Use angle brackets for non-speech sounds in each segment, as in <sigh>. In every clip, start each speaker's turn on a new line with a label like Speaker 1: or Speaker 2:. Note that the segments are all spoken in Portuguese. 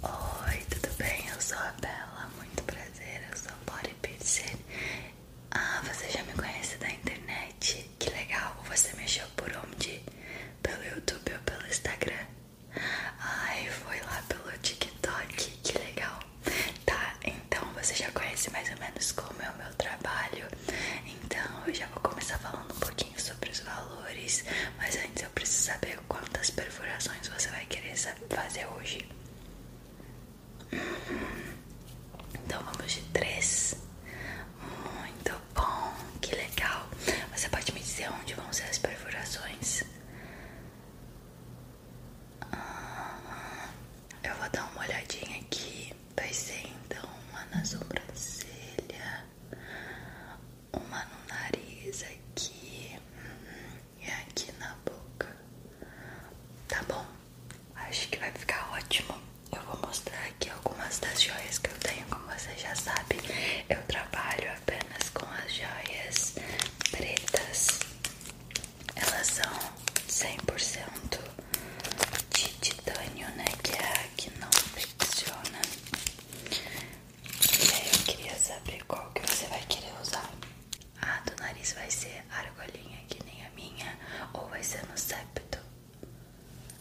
Speaker 1: Oi, tudo bem? Eu sou a Bela, muito prazer, eu sou Body Pizzer. Ah, você já me conhece da internet? Que legal, você me achou por onde? Pelo YouTube ou pelo Instagram? Ai, foi lá pelo TikTok, que legal. Tá, então você já conhece mais ou menos como é o meu trabalho. Então eu já vou começar falando um pouquinho sobre os valores, mas antes eu preciso saber quantas perfurações você vai querer fazer hoje. Uhum. Então vamos de três. Muito bom, que legal. Você pode me dizer onde vão ser as perfurações? Ah, eu vou dar uma olhadinha aqui. Vai ser então uma na sobrancelha, uma no nariz aqui hum, e aqui na boca. Tá bom? Acho que vai ficar ótimo. Eu vou mostrar aqui algumas das joias que eu tenho. Como você já sabe, eu trabalho apenas com as joias pretas. Elas são 100% de titânio, né? Que é a que não flexiona. E aí eu queria saber qual que você vai querer usar. A ah, do nariz vai ser argolinha que nem a minha ou vai ser no septo?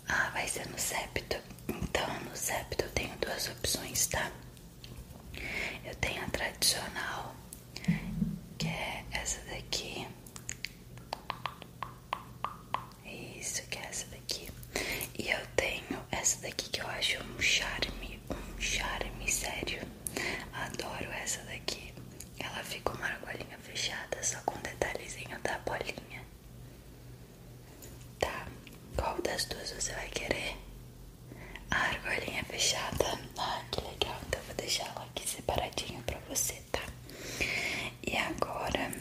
Speaker 1: Ah, vai ser no septo. Então no septo eu tenho duas opções, tá? Eu tenho a tradicional, que é essa daqui. Isso, que é essa daqui. E eu tenho essa daqui que eu acho um charme um charme sério. Adoro essa daqui. Ela fica uma argolinha fechada, só com detalhezinho da bolinha. Tá, qual das duas você vai querer? A argolinha fechada. Ah, que legal. Então vou deixar ela aqui separadinha pra você, tá? E agora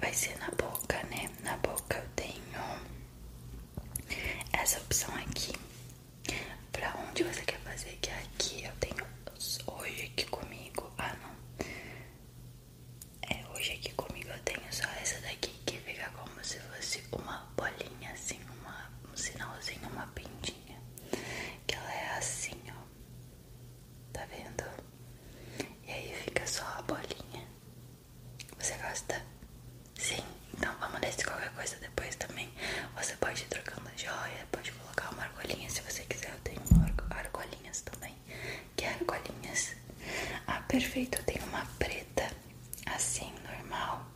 Speaker 1: vai ser na boca, né? Na boca eu tenho essa opção aqui pra onde você quer fazer que aqui eu tenho hoje aqui comigo ah não é hoje aqui comigo eu tenho só essa daqui que fica como se fosse uma bolinha assim um sinalzinho uma pintinha que ela é assim ó tá vendo e aí fica só a bolinha você gosta? Sim? Então vamos nesse qualquer coisa depois também. Você pode ir trocando a joia, pode colocar uma argolinha se você quiser. Eu tenho argolinhas também. Que argolinhas? Ah, perfeito. Eu tenho uma preta, assim, normal.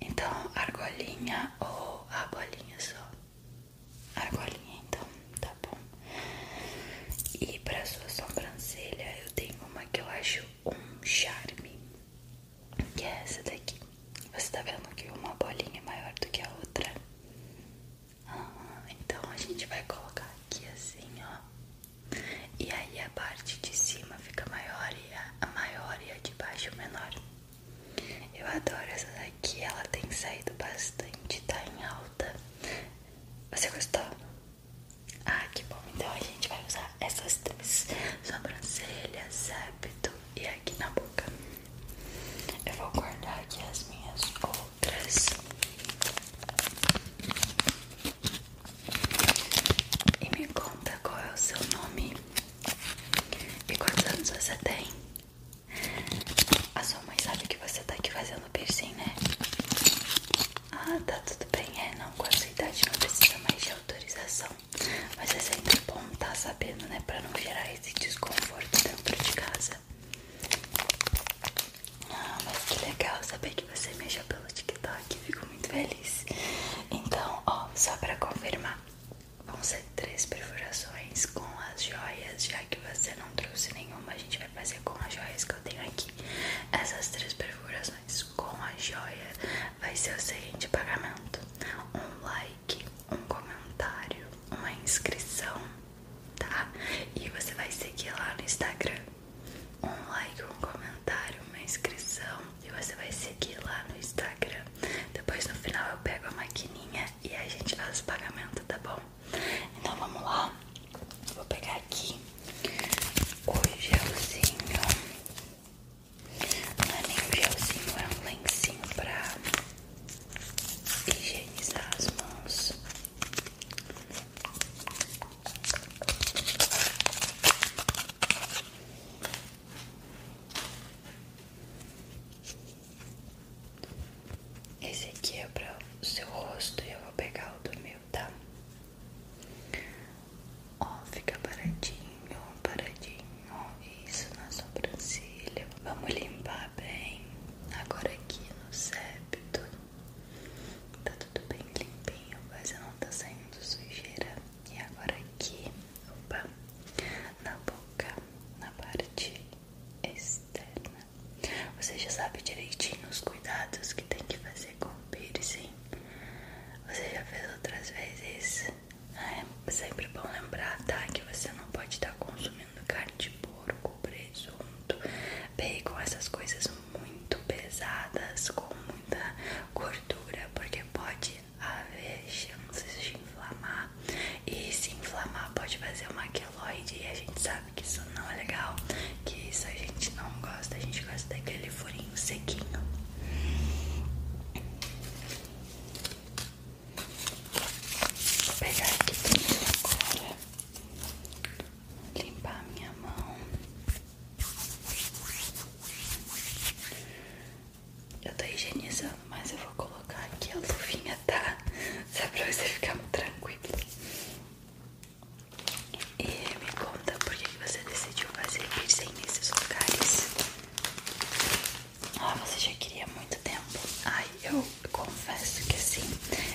Speaker 1: Então, argolinha ou argolinha só? Argolinha, então, tá bom. E pra sua sobrancelha, eu tenho uma que eu acho um charme, que é essa daqui. Você tá vendo que uma bolinha é maior do que a outra? Ah, então a gente vai colocar aqui assim, ó. E aí a parte de cima fica maior e a, a maior e a de baixo menor. Eu adoro essa daqui, ela tem saído bastante, tá em alta. Você gostou? Ah, que bom. Então a gente vai usar essas três: sobrancelha, septo e aqui na boca. Eu vou guardar aqui as minhas outras. E me conta qual é o seu nome e quantos anos você tem. A sua mãe sabe que você tá aqui fazendo piercing, né? Ah, tá tudo bem, é, não, com essa idade não precisa mais de autorização Mas é sempre bom tá sabendo, né, pra não gerar esse desconforto dentro de casa Ah, mas que legal saber que você me pelo TikTok, fico muito feliz Então, ó, só pra confirmar Vão ser três perfurações com as joias, já que você não trouxe nenhuma, a gente vai fazer com as joias que eu tenho aqui Essas três perfurações com a joia vai ser o seguinte pagamento: um like, um comentário, uma inscrição, tá? E você vai seguir lá no Instagram. Um like, um comentário, uma inscrição e você vai seguir lá no Instagram. Depois no final eu pego a maquininha e a gente faz o pagamento, tá bom? Então vamos lá. Vou pegar aqui o gelzinho. Não é nem um gelzinho, é um lencinho pra higienizar as mãos. Esse aqui é para o seu rosto e eu vou pegar o do meu, tá? Ó, fica paradinho, paradinho. Isso na sobrancelha. Vamos limpar bem. Agora aqui no septo. Tá tudo bem limpinho, quase não tá saindo sujeira. E agora aqui, opa, na boca, na parte externa. Você já sabe direitinho os cuidados que tem que fazer com com piercing. Você já fez outras vezes? Ah, é sempre bom lembrar, tá? Que você não pode estar tá consumindo carne de porco, presunto, bacon, essas coisas muito pesadas, com muita gordura, porque pode haver chances de inflamar. E se inflamar pode fazer uma queloide e a gente sabe que isso não é legal, que isso a gente não gosta, a gente gosta daquele furinho sequinho. Vou pegar aqui também agora, limpar minha mão. Eu tô higienizando, mas eu vou colocar aqui a luvinha, tá? <laughs> Só pra você ficar tranquilo. E me conta por que você decidiu fazer piercing nesses lugares. Ah, você já queria muito tempo. Ai, eu confesso que sim.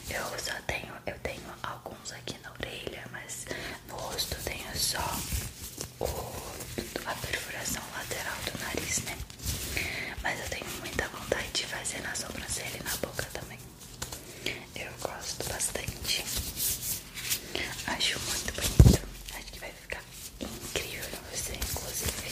Speaker 1: Eu só tenho, eu tenho alguns aqui na orelha, mas no rosto tenho só a perfuração lateral do nariz, né? Mas eu tenho muita vontade de fazer na sobrancelha e na boca também. Eu gosto bastante. Acho muito bonito. Acho que vai ficar incrível em você, inclusive.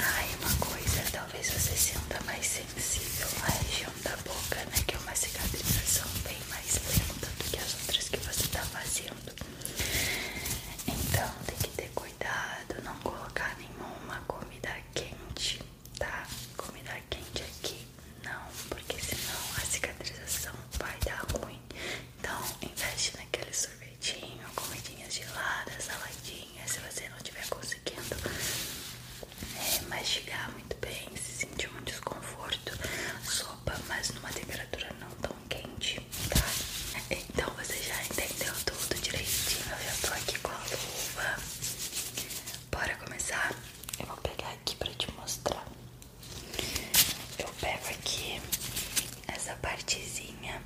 Speaker 1: Ah, uma coisa, talvez você sinta mais sensível à região da boca, né? Que é uma cicatrização bem mais lenta do que as outras que você está fazendo. Então tem que ter cuidado, não colocar nenhuma comida quente tá? Comida quente aqui não, porque senão a cicatrização vai dar ruim. Então, investe naquele sorvetinho, comidinhas geladas, saladinhas, se você não estiver conseguindo é, mastigar muito bem, se sentir um desconforto, sopa, mas numa temperatura não tão quente, tá? Então você já entendeu tudo direitinho, eu já tô aqui com a luva. Bora começar? Eu vou pegar aqui pra te mostrar. Eu pego aqui essa partezinha,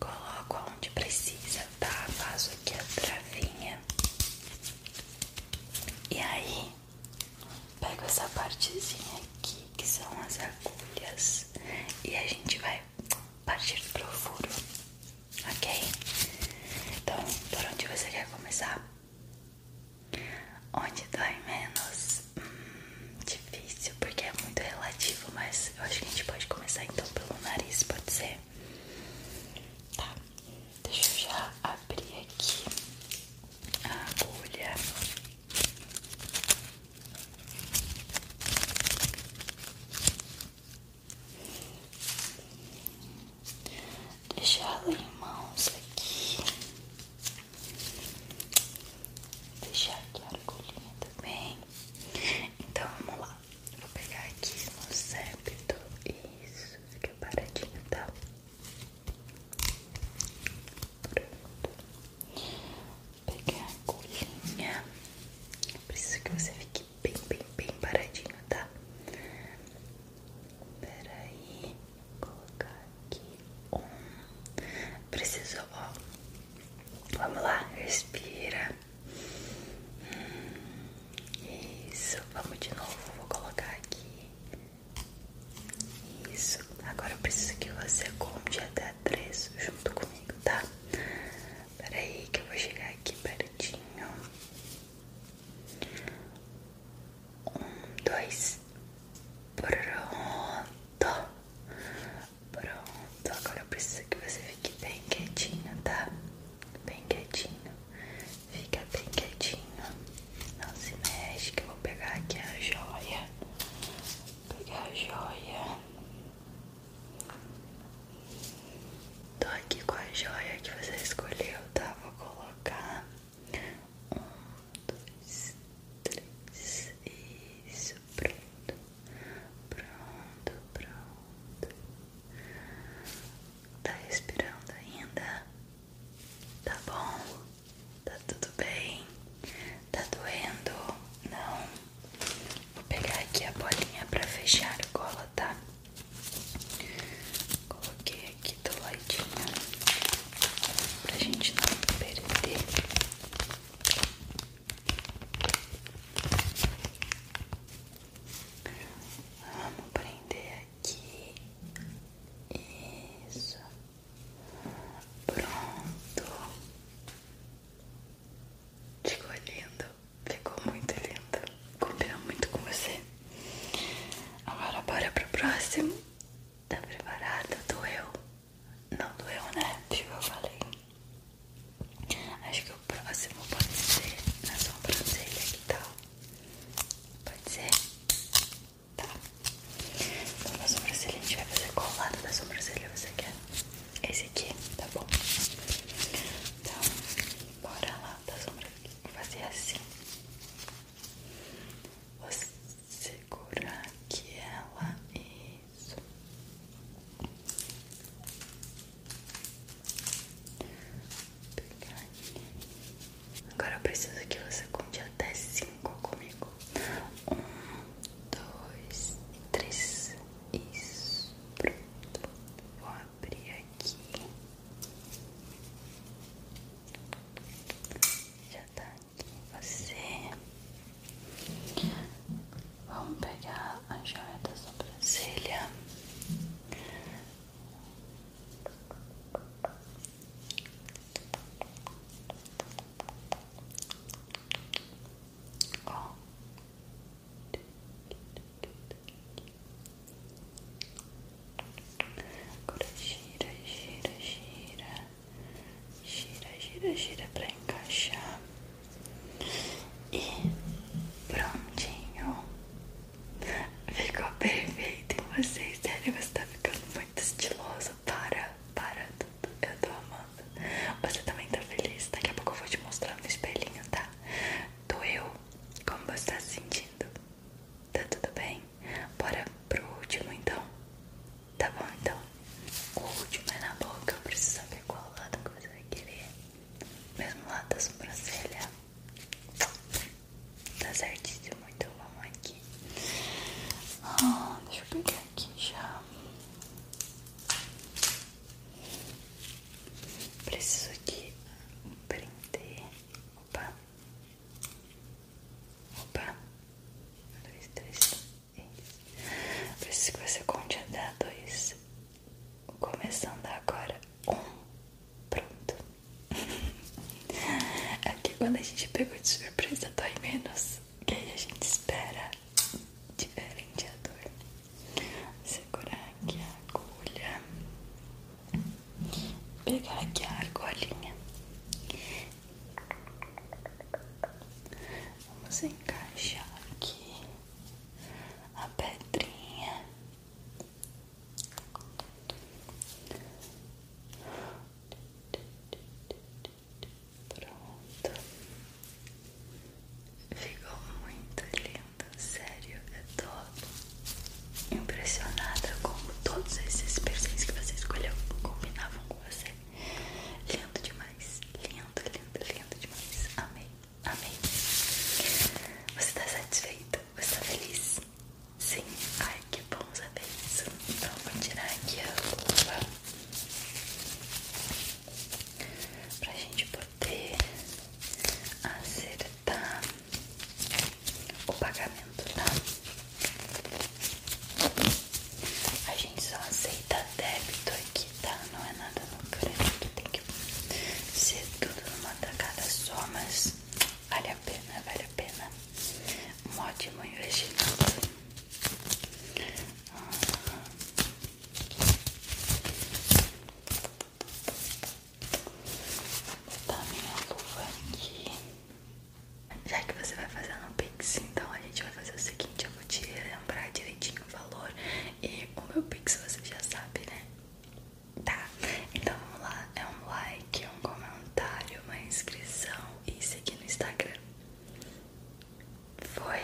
Speaker 1: coloco onde precisa, tá? Faço aqui a travinha. E aí, pego essa partezinha aqui, que são as agulhas, e a gente vai partir pro furo. Ok? Então, por onde você quer começar? Onde dói menos? Hum, difícil, porque é muito relativo, mas eu acho que a gente pode começar então pelo nariz, pode ser? Tá, deixa eu já abrir aqui a agulha deixá-la em mãos aqui, deixar aqui a argolinha também. Então vamos lá, vou pegar aqui no septo, isso, fica paradinho, tá? Pronto, pegar a agulhinha. Preciso que você fique bem, bem, bem paradinho, tá? Peraí, colocar aqui Preciso, ó. Vamos lá, respira. Hum, isso, vamos de novo. Vou colocar aqui. Isso, agora eu preciso que você conte até três junto comigo, tá? Peraí, que eu vou chegar aqui pertinho. Um, dois. Pronto. Pronto. Agora eu preciso que você fique bem quietinho, tá? Bem quietinho. Fica bem quietinho. Não se mexe que eu vou pegar aqui a joia. pegar a joia. Tô aqui com a joia que você escolheu, tá? Vou colocar um, dois, três, isso, pronto, pronto, pronto. Tá respirando ainda? Tá bom? Tá tudo bem? Tá doendo? Não? Vou pegar aqui a bolinha pra fechar a colo, tá? Coloquei aqui do ladinho pra gente não perder. Vamos prender aqui. Isso. Pronto. Ficou lindo. Ficou muito linda. Combina muito com você. Agora bora pro próximo. Tá preparado Doeu? Não doeu, né? Tipo eu falei. Acho que o próximo pode ser na sobrancelha, que tal? Tá? Pode ser? Tá. Então na sobrancelha a gente vai fazer colada da sobrancelha você quer? Esse aqui, tá bom? Então, bora lá da sobrancelha. Vou fazer assim. Vou segurar que ela. Isso. Agora eu preciso que você conte até cinco comigo. Um, dois, três. Isso. Pronto. Vou abrir aqui. Já tá aqui você. Vamos pegar a joia da sobrancelha. Agora gira, gira, gira, gira, gira, gira para encaixar e prontinho. Ficou perfeito em vocês, sério, você tá ficando muito estilosa. Para, para tudo, eu tô amando. Você também tá feliz? Daqui a pouco eu vou te mostrar no espelhinho, tá? Doeu, como você está se sentindo? Tá tudo bem? Bora pro último então? Tá bom então? O último é na boca, eu preciso saber qual lado que você vai querer. Mesmo lado da sobrancelha. Tá certinho muito então bom aqui. Ah, deixa eu pegar aqui já. Preciso de prender. Opa. Opa. Um, dois, três. Isso. Preciso que você conte até dois. Começando agora. Um. Pronto. <laughs> Aqui quando a gente pegou de surpresa dói menos. Que aí a gente espera diferente a dor. Segurar aqui a agulha. Pegar aqui a argolinha. Vamos encaixar aqui a pedrinha. Pronto, ficou muito lindo sério, eu tô impressionada como todos esses perfis que você escolheu combinavam com você. Lindo demais, lindo, lindo, lindo demais. Amei, amei. Você tá satisfeito? Você tá feliz? Sim, ai que bom saber isso. Então vou tirar aqui a luva pra gente poder acertar o pagamento, tá? A gente só aceita débito aqui, tá? Não é nada no crédito, tem que ser tudo numa tacada só, mas vale a pena, vale a pena. Um ótimo investimento. Uhum. Vou tá, botar minha luva aqui. Já que você vai fazer no Pix, então a gente vai fazer o seguinte: eu vou te lembrar direitinho o valor. E o meu Pix você já sabe, né? Tá, então vamos lá: é um like, um comentário, uma inscrição e seguir no Instagram. Foi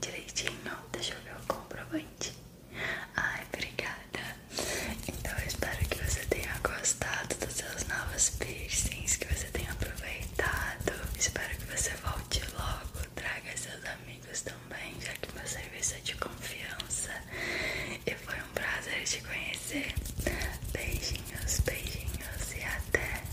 Speaker 1: direitinho. Deixa eu ver o comprovante. Ai, obrigada. Então eu espero que você tenha gostado dos seus novos piercings, que você tenha aproveitado. Espero que você volte logo, traga seus amigos também, já que meu serviço é de confiança. E foi um prazer te conhecer. Beijinhos, beijinhos e até.